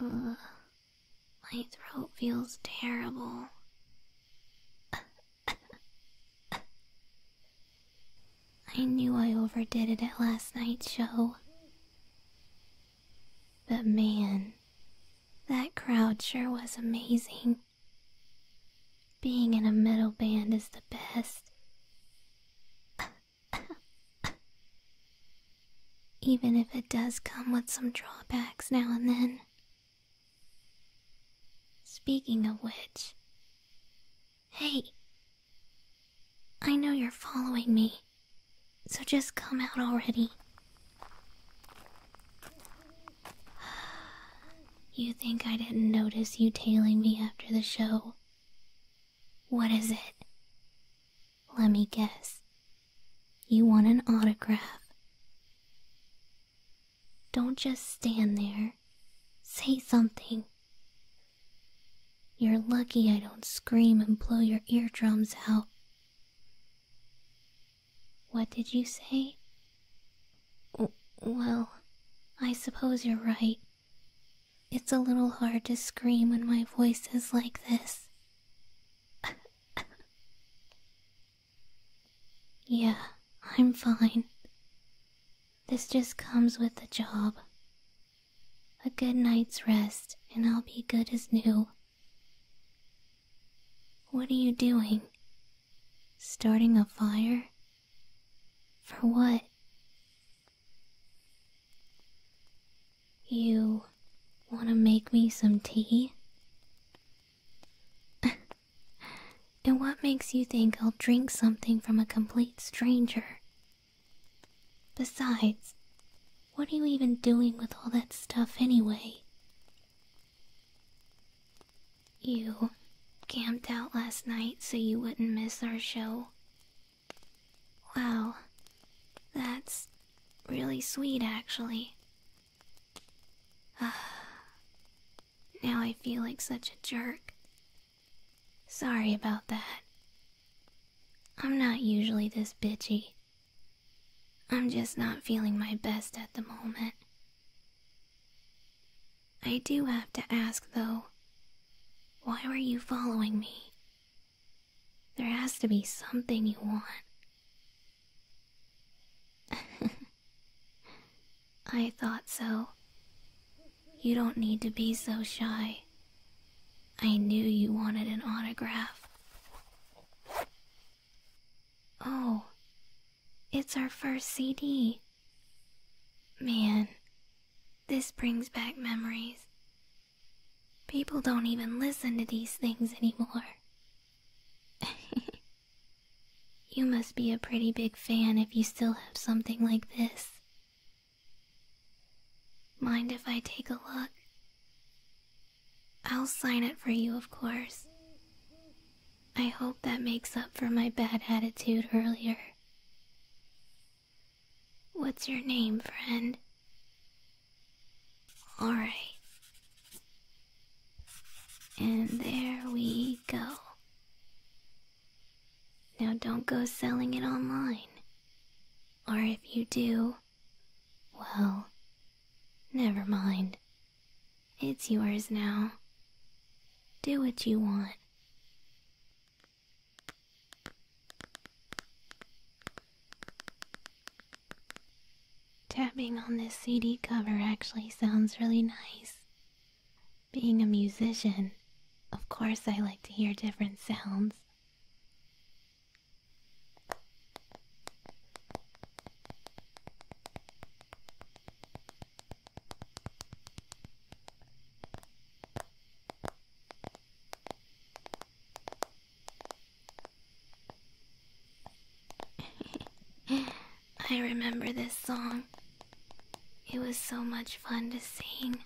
Uh, my throat feels terrible. I knew I overdid it at last night's show. But man, that crowd sure was amazing. Being in a metal band is the best. Even if it does come with some drawbacks now and then. Speaking of which, hey, I know you're following me, so just come out already. You think I didn't notice you tailing me after the show? What is it? Let me guess. You want an autograph. Don't just stand there. Say something. You're lucky I don't scream and blow your eardrums out. What did you say? Well, I suppose you're right. It's a little hard to scream when my voice is like this. yeah, I'm fine. This just comes with the job. A good night's rest, and I'll be good as new. What are you doing? Starting a fire? For what? You want to make me some tea? and what makes you think I'll drink something from a complete stranger? Besides, what are you even doing with all that stuff anyway? You camped out last night so you wouldn't miss our show. Wow, that's really sweet actually. Ah, now I feel like such a jerk. Sorry about that. I'm not usually this bitchy. I'm just not feeling my best at the moment. I do have to ask, though, why were you following me? There has to be something you want. I thought so. You don't need to be so shy. I knew you wanted an autograph. Oh, it's our first CD. Man, this brings back memories. People don't even listen to these things anymore. you must be a pretty big fan if you still have something like this. Mind if I take a look? I'll sign it for you, of course. I hope that makes up for my bad attitude earlier. What's your name, friend? Alright. And there we go. Now don't go selling it online. Or if you do, well, never mind. It's yours now. Do what you want. Tapping on this CD cover actually sounds really nice. Being a musician, of course I like to hear different sounds. I remember this song. It was so much fun to sing.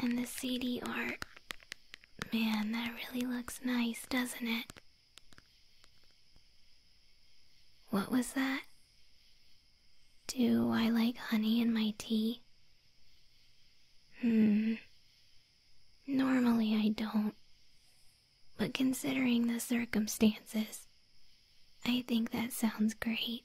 And the CD art. Man, that really looks nice, doesn't it? What was that? Do I like honey in my tea? Hmm. Normally I don't. But considering the circumstances, I think that sounds great.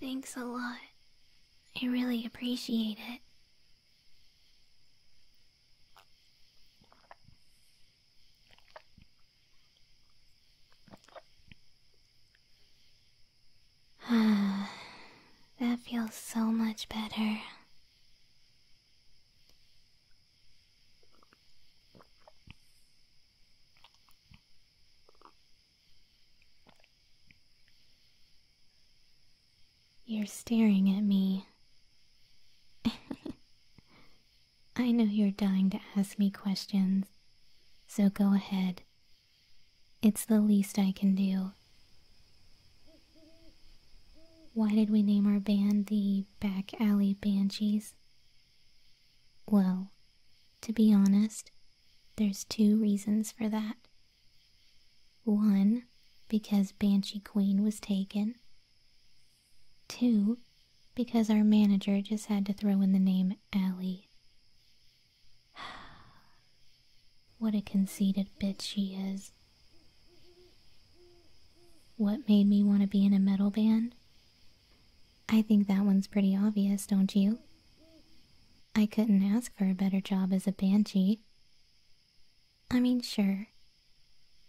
Thanks a lot. I really appreciate it. that feels so much better. You're staring at me. I know you're dying to ask me questions, so go ahead. It's the least I can do. Why did we name our band the Back Alley Banshees? Well, to be honest, there's two reasons for that. One, because Banshee Queen was taken. Two, because our manager just had to throw in the name Alley. what a conceited bitch she is. What made me want to be in a metal band? I think that one's pretty obvious, don't you? I couldn't ask for a better job as a banshee. I mean, sure,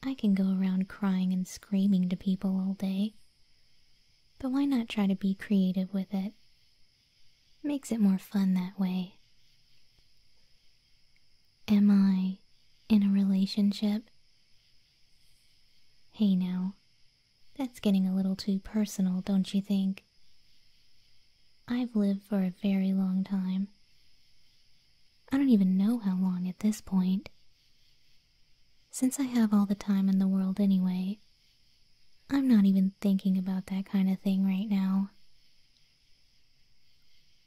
I can go around crying and screaming to people all day, but why not try to be creative with it? Makes it more fun that way. Am I in a relationship? Hey now, that's getting a little too personal, don't you think? I've lived for a very long time. I don't even know how long at this point. Since I have all the time in the world anyway, I'm not even thinking about that kind of thing right now.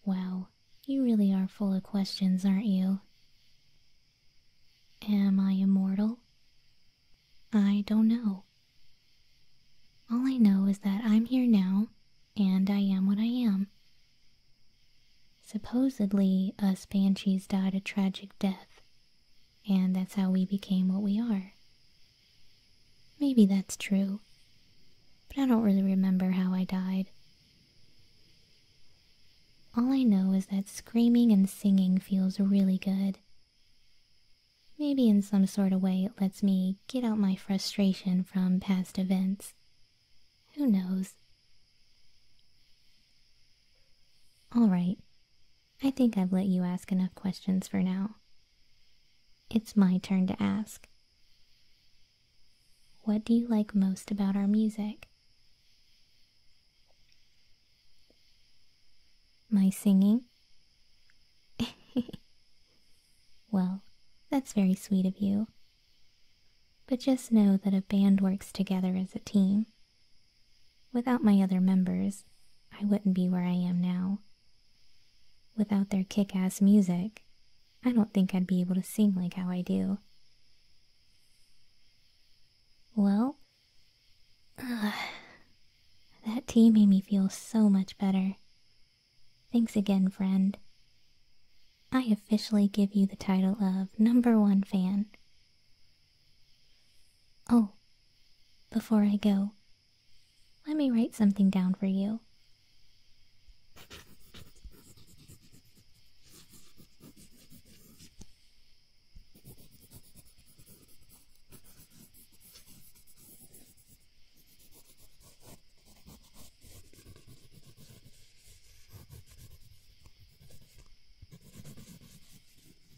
Wow, you really are full of questions, aren't you? Am I immortal? I don't know. All I know is that I'm here now, and I am what I am. Supposedly, us banshees died a tragic death, and that's how we became what we are Maybe that's true, but I don't really remember how I died. All I know is that screaming and singing feels really good. Maybe in some sort of way it lets me get out my frustration from past events. Who knows? Alright, I think I've let you ask enough questions for now it's my turn to ask. What do you like most about our music? My singing? well, that's very sweet of you. But just know that a band works together as a team. Without my other members, I wouldn't be where I am now. Without their kick ass music, I don't think I'd be able to sing like how I do. Well, uh, that tea made me feel so much better. Thanks again, friend. I officially give you the title of number one fan. Oh, before I go, let me write something down for you.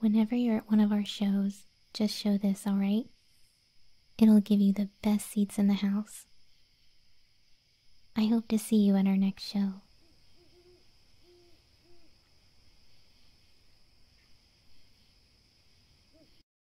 Whenever you're at one of our shows, just show this, alright? It'll give you the best seats in the house. I hope to see you at our next show.